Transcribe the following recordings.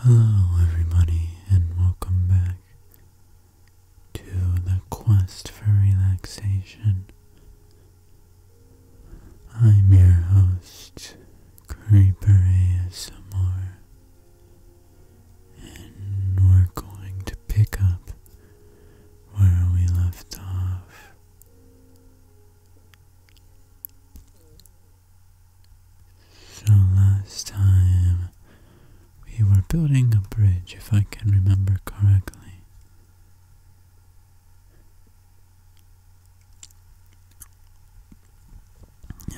Hello, everybody, and welcome back to the quest for relaxation. I'm your host, Creeper ASMR, and we're going to pick up where we left off. So last time we were building a bridge, if I can remember correctly.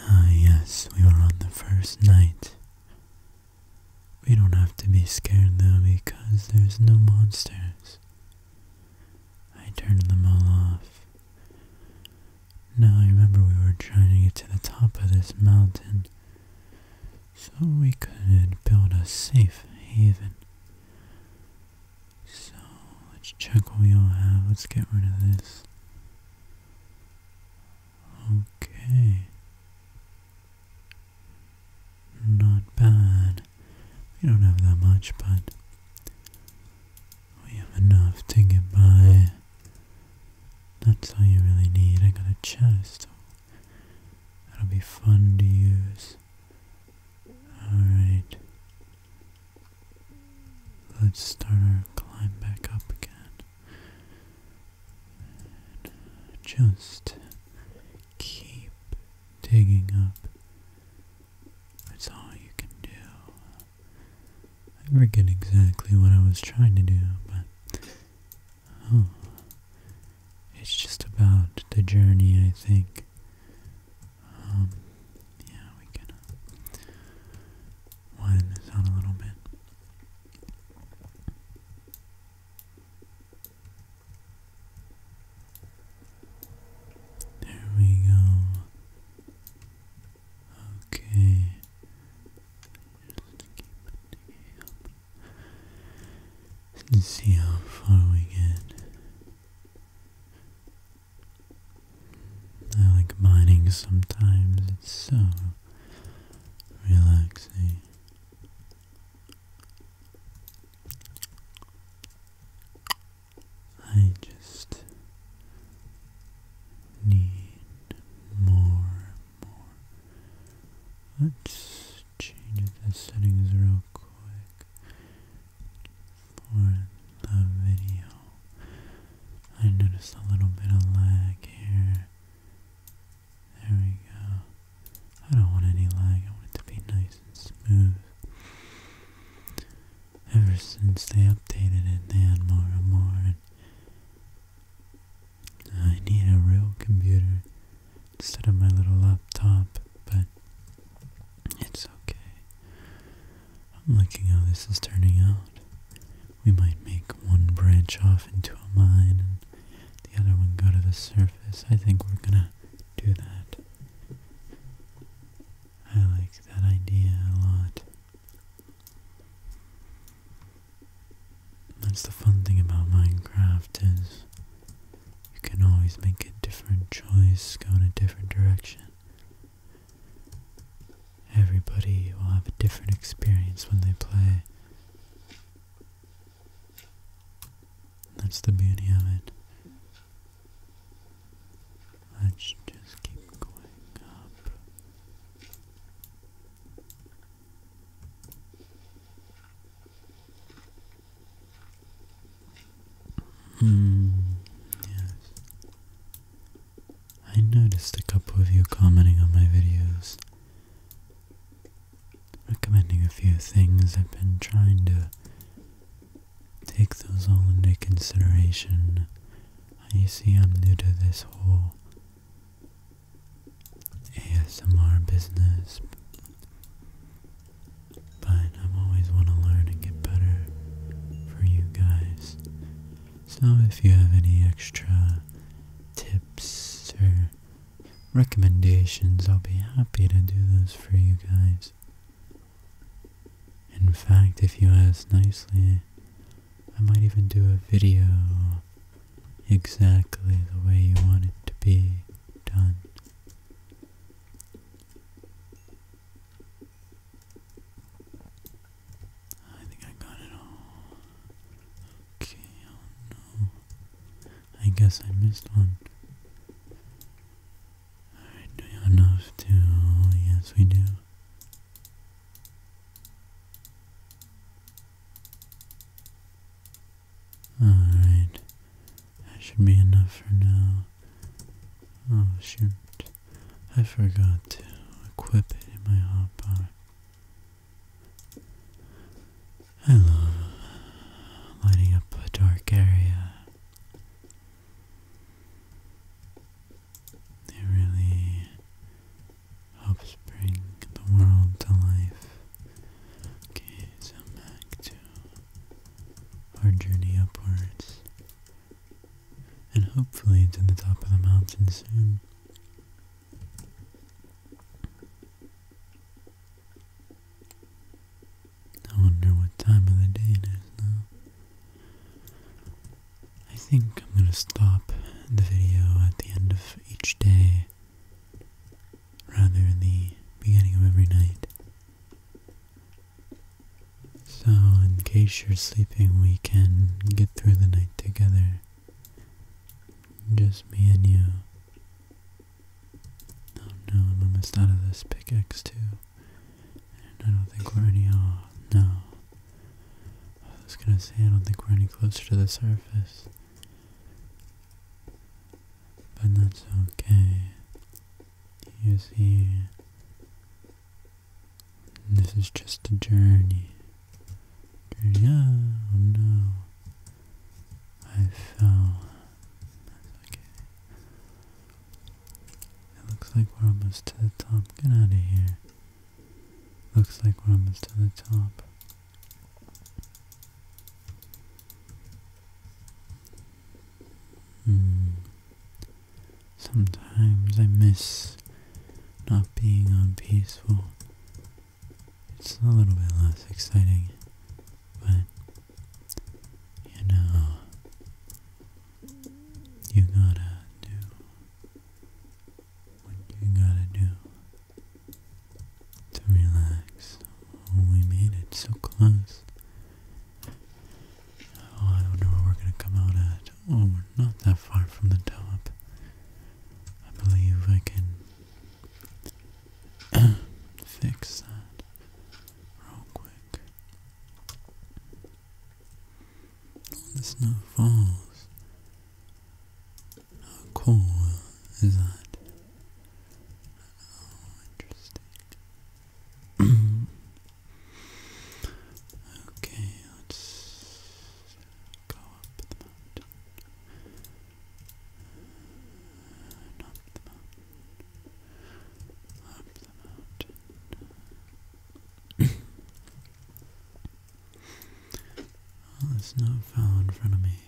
Ah, yes, we were on the first night we don't have to be scared though because there's no monsters. I turned them all off. Now I remember we were trying to get to the top of this mountain so we could build a safe haven. So let's check what we all have. Let's get rid of this. Okay. Not bad. We don't have that much, but we have enough to get by. That's all you really need. I got a chest. That'll be fun to use. Alright. Let's start our climb back up again just keep digging up. That's all you can do. I forget exactly what I was trying to do, but oh, it's just about the journey, I think. Um, yeah, we can uh, this out a little bit. There we go. Okay. Let's see how far we get. I like mining sometimes, it's so relaxing. I just need more more. Let's change the settings real quick for the video. I noticed a little bit of lag here. There we go. I don't want any lag. I want it to be nice and smooth. Ever since they updated it, they had more and more. I need a real computer instead of my little laptop, but it's okay. I'm liking how this is turning out. We might make one branch off into a mine and the other one go to the surface. I think we're gonna do that. I like that idea a lot. That's the fun thing about Minecraft is you can always make a different choice, go in a different direction. Everybody will have a different experience when they play. That's the beauty of it. Let's just keep going up. Hmm, yes. I noticed a couple of you commenting on my videos, recommending a few things. I've been trying to take those all into consideration. You see, I'm new to this whole ASMR business, but I always want to learn and get better for you guys. So if you have any extra tips or recommendations, I'll be happy to do those for you guys. In fact, if you ask nicely, I might even do a video exactly the way you want it to be done. I think I got it all. Okay, oh no. I guess I missed one. Alright, do you enough to... Oh, yes we do. Alright, that should be enough for now. Oh shoot. I forgot to equip it in my hotbar. I love lighting up a dark area. It really helps bring the world to life. Okay, so back to our journey upwards and hopefully to the top of the mountain soon. I wonder what time of the day it is now. I think I'm going to stop the video at the end of each day, rather the beginning of every night. So, in case you're sleeping, we can get through the night together. Just me and you. Oh no, I'm almost out of this pickaxe too. And I don't think we're any Oh, no. I was gonna say, I don't think we're any closer to the surface. But that's okay. You see, this is just a journey. Journey. Oh no. I fell. okay. It looks like we're almost to the top. Get out of here. Looks like we're almost to the top. Hmm. Sometimes I miss not being on peaceful. It's a little bit less exciting, but you know, you gotta do what you gotta do to relax. Oh, we made it so close. Oh, I do where we're gonna come out at. Oh, we're not that far from the top. I believe I can fix that real quick. Oh, snow falls. How cool is that? Oh, interesting okay, let's go up the mountain. up the mountain. Up the mountain. there's no foul in front of me.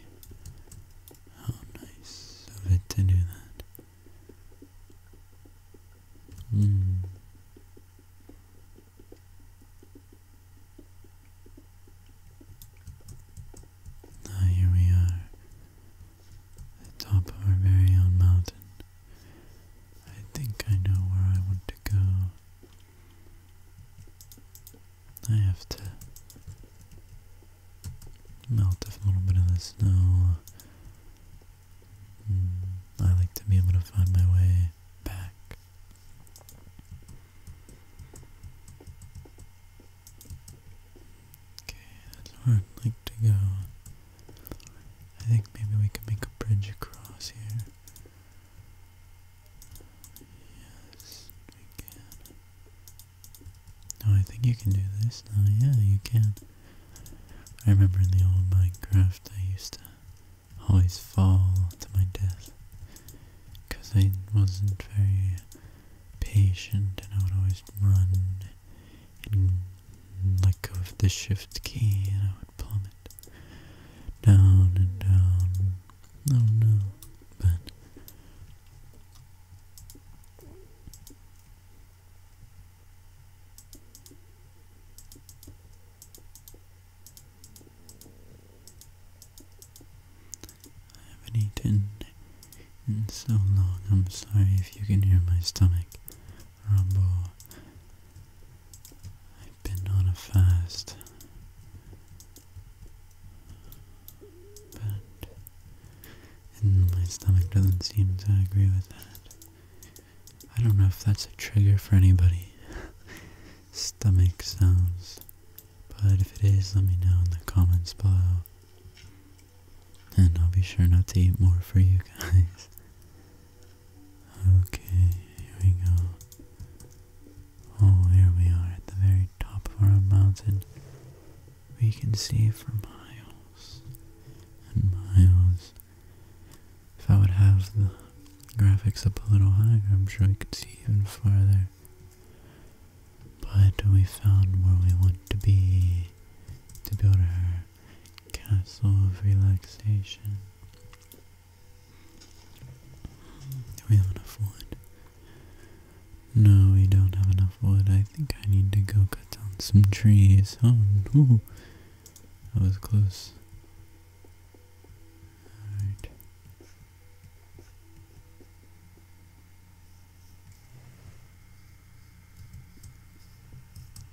How nice of it to do that. Mm. Now here we are, the top of our very own mountain. I think I know where I want to go. I have to melt a little bit of the snow Hmm. I like to be able to find my way back. Okay, that's where I'd like to go. I think maybe we can make a bridge across here. Yes, we can. Oh, I think you can do this now. Oh, yeah, you can. I remember in the old Minecraft I used to always fall to my death because I wasn't very patient and I would always run and mm, let go of the shift key and I would plummet down and down. Oh no, but I haven't eaten in so long. I'm sorry if you can hear my stomach rumble. I've been on a fast. But and my stomach doesn't seem to agree with that. I don't know if that's a trigger for anybody. Stomach sounds. But if it is, let me know in the comments below. And I'll be sure not to eat more for you guys. Okay, here we go. Oh, here we are at the very top of our mountain. We can see from high and miles. If I would have the graphics up a little higher, I'm sure I could see even farther. But we found where we want to be to build our castle of relaxation. Do we have enough wood? No, we don't have enough wood. I think I need to go cut down some trees. Oh no, that was close. Alright.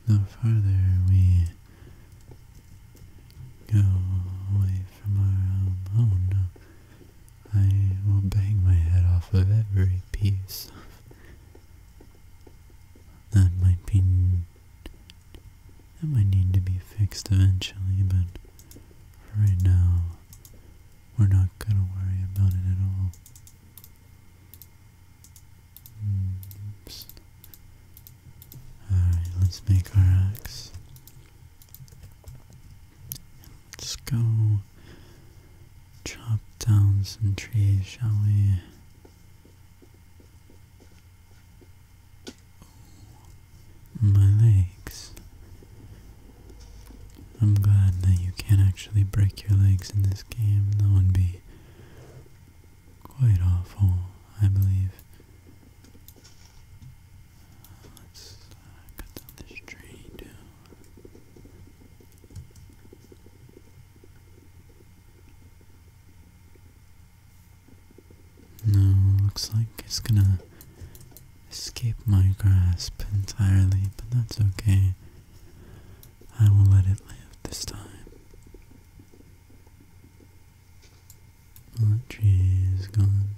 The farther we go away from our home, oh no, I will bang my head off of every piece that might be that might need to be fixed eventually, but for right now we're not gonna worry about it at all. Hmm. Alright, let's make our axe. Let's go chop down some trees, shall we? my legs. I'm glad that you can't actually break your legs in this game. That would be quite awful, I believe. Let's uh, cut down this tree too. No, looks like it's gonna escape my grasp entirely, but that's okay. I will let it live this time. Well, tree is gone.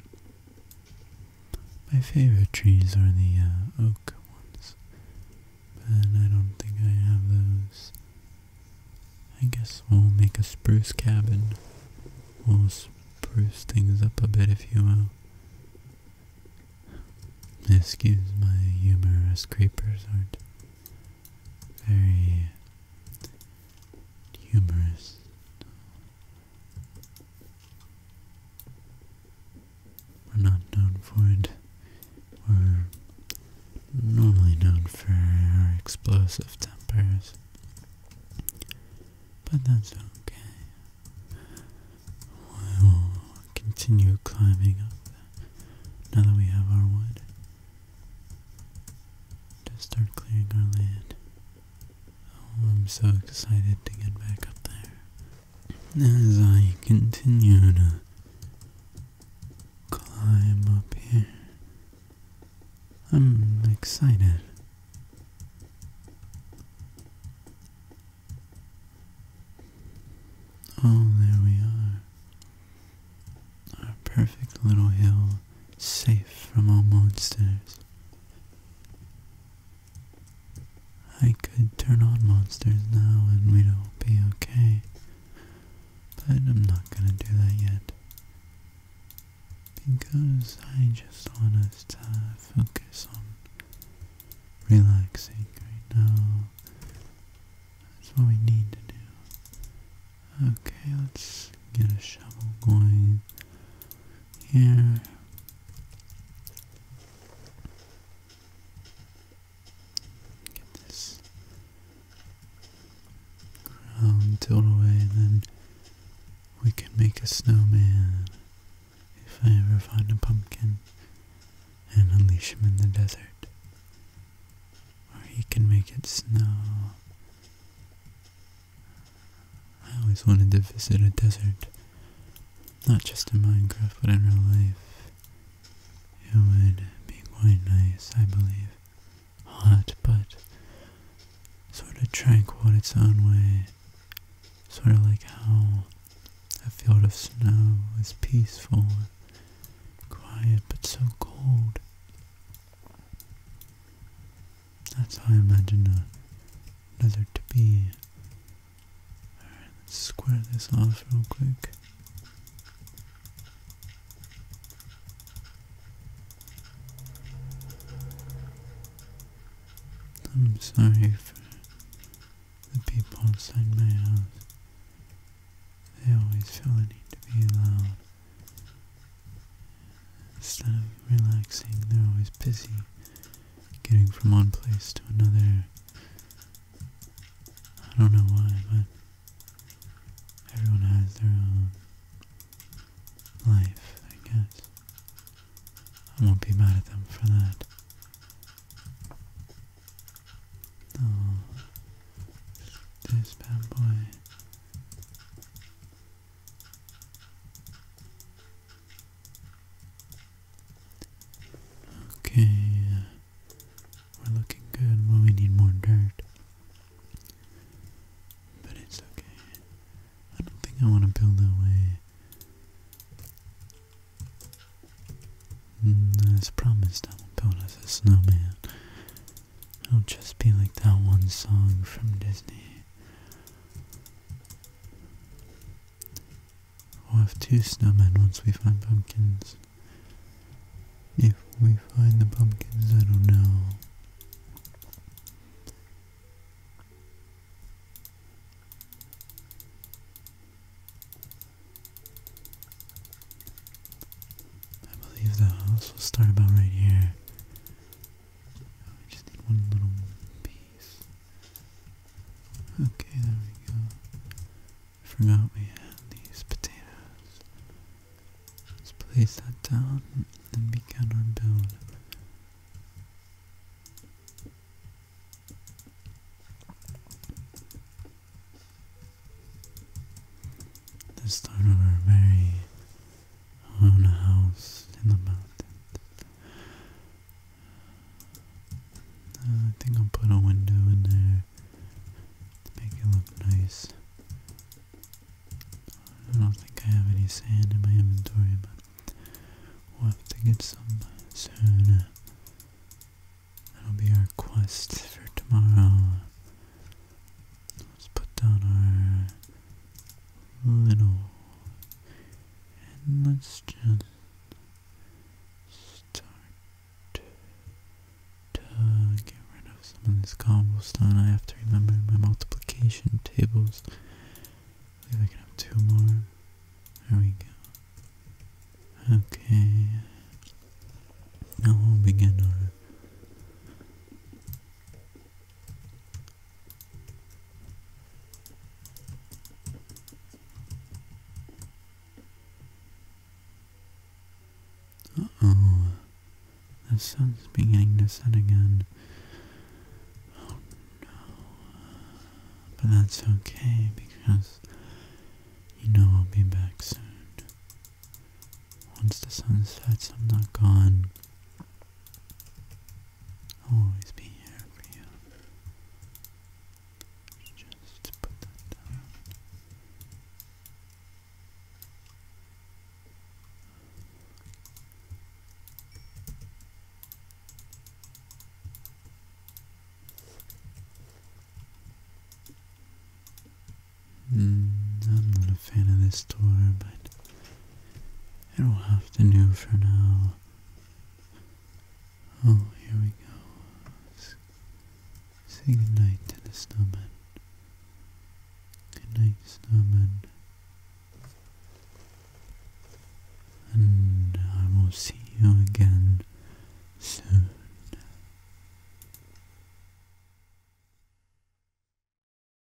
My favorite trees are the uh, oak ones. And I don't think I have those. I guess we'll make a spruce cabin. We'll spruce things up a bit, if you will. Excuse my humor, as creepers aren't very humorous. We're not known for it. We're normally known for our explosive tempers. But that's okay. We will continue climbing up now that we have our wood. To start clearing our land. Oh, I'm so excited to get back up there as I continue to climb up here. I'm excited. Oh, there we are. Our perfect little hill, safe from all monsters. I could turn on monsters now and we'd all be okay. But I'm not gonna do that yet. Because I just want us to focus on relaxing right now. That's what we need to do. Okay, let's get a shovel going. Yeah. Get this ground tilled away, then we can make a snowman if I ever find a pumpkin and unleash him in the desert. Or he can make it snow. I always wanted to visit a desert. Not just in Minecraft, but in real life. It would be quite nice, I believe. Hot, but sort of tranquil in its own way. Sort of like how a field of snow is peaceful, quiet, but so cold. That's how I imagine a desert to be let's square this off real quick. I'm sorry for the people inside my house. They always feel the need to be loud. Instead of relaxing, they're always busy getting from one place to another. I don't know why, but everyone has their own life, I guess. I won't be mad at them for that. Oh, this bad boy. Okay, uh, we're looking good. Well, we need more dirt. But it's okay. I don't think I want to build that way. Mm, promised, I will build us a snowman. It'll just be like that one song from Disney. We'll have two snowmen once we find pumpkins. If we find the pumpkins, I don't know. I believe the house will start about right here. We just need one little piece. Okay, there we go. I forgot we had these potatoes. Let's place that down and begin our build. This time of our very own house in the mountains. Uh, I think I'll put a window in there to make it look nice. I don't think I have any sand in my inventory, but we'll have to get some soon. That'll be our quest for tomorrow. Let's put down our little and let's just start to get rid of some of this cobblestone. I have to remember my multiplication tables. I believe I have two more. There we go. Okay. Now we'll begin our oh The sun's beginning to set again. Oh no. But that's okay because you know I'll be back soon. Once the sun sets, I'm not gone always be here for you. Just put that down. Mm, I'm not a fan of this door, but I don't have to do for now. Oh, here we go. say goodnight to the snowman. Goodnight, snowman. And I will see you again soon.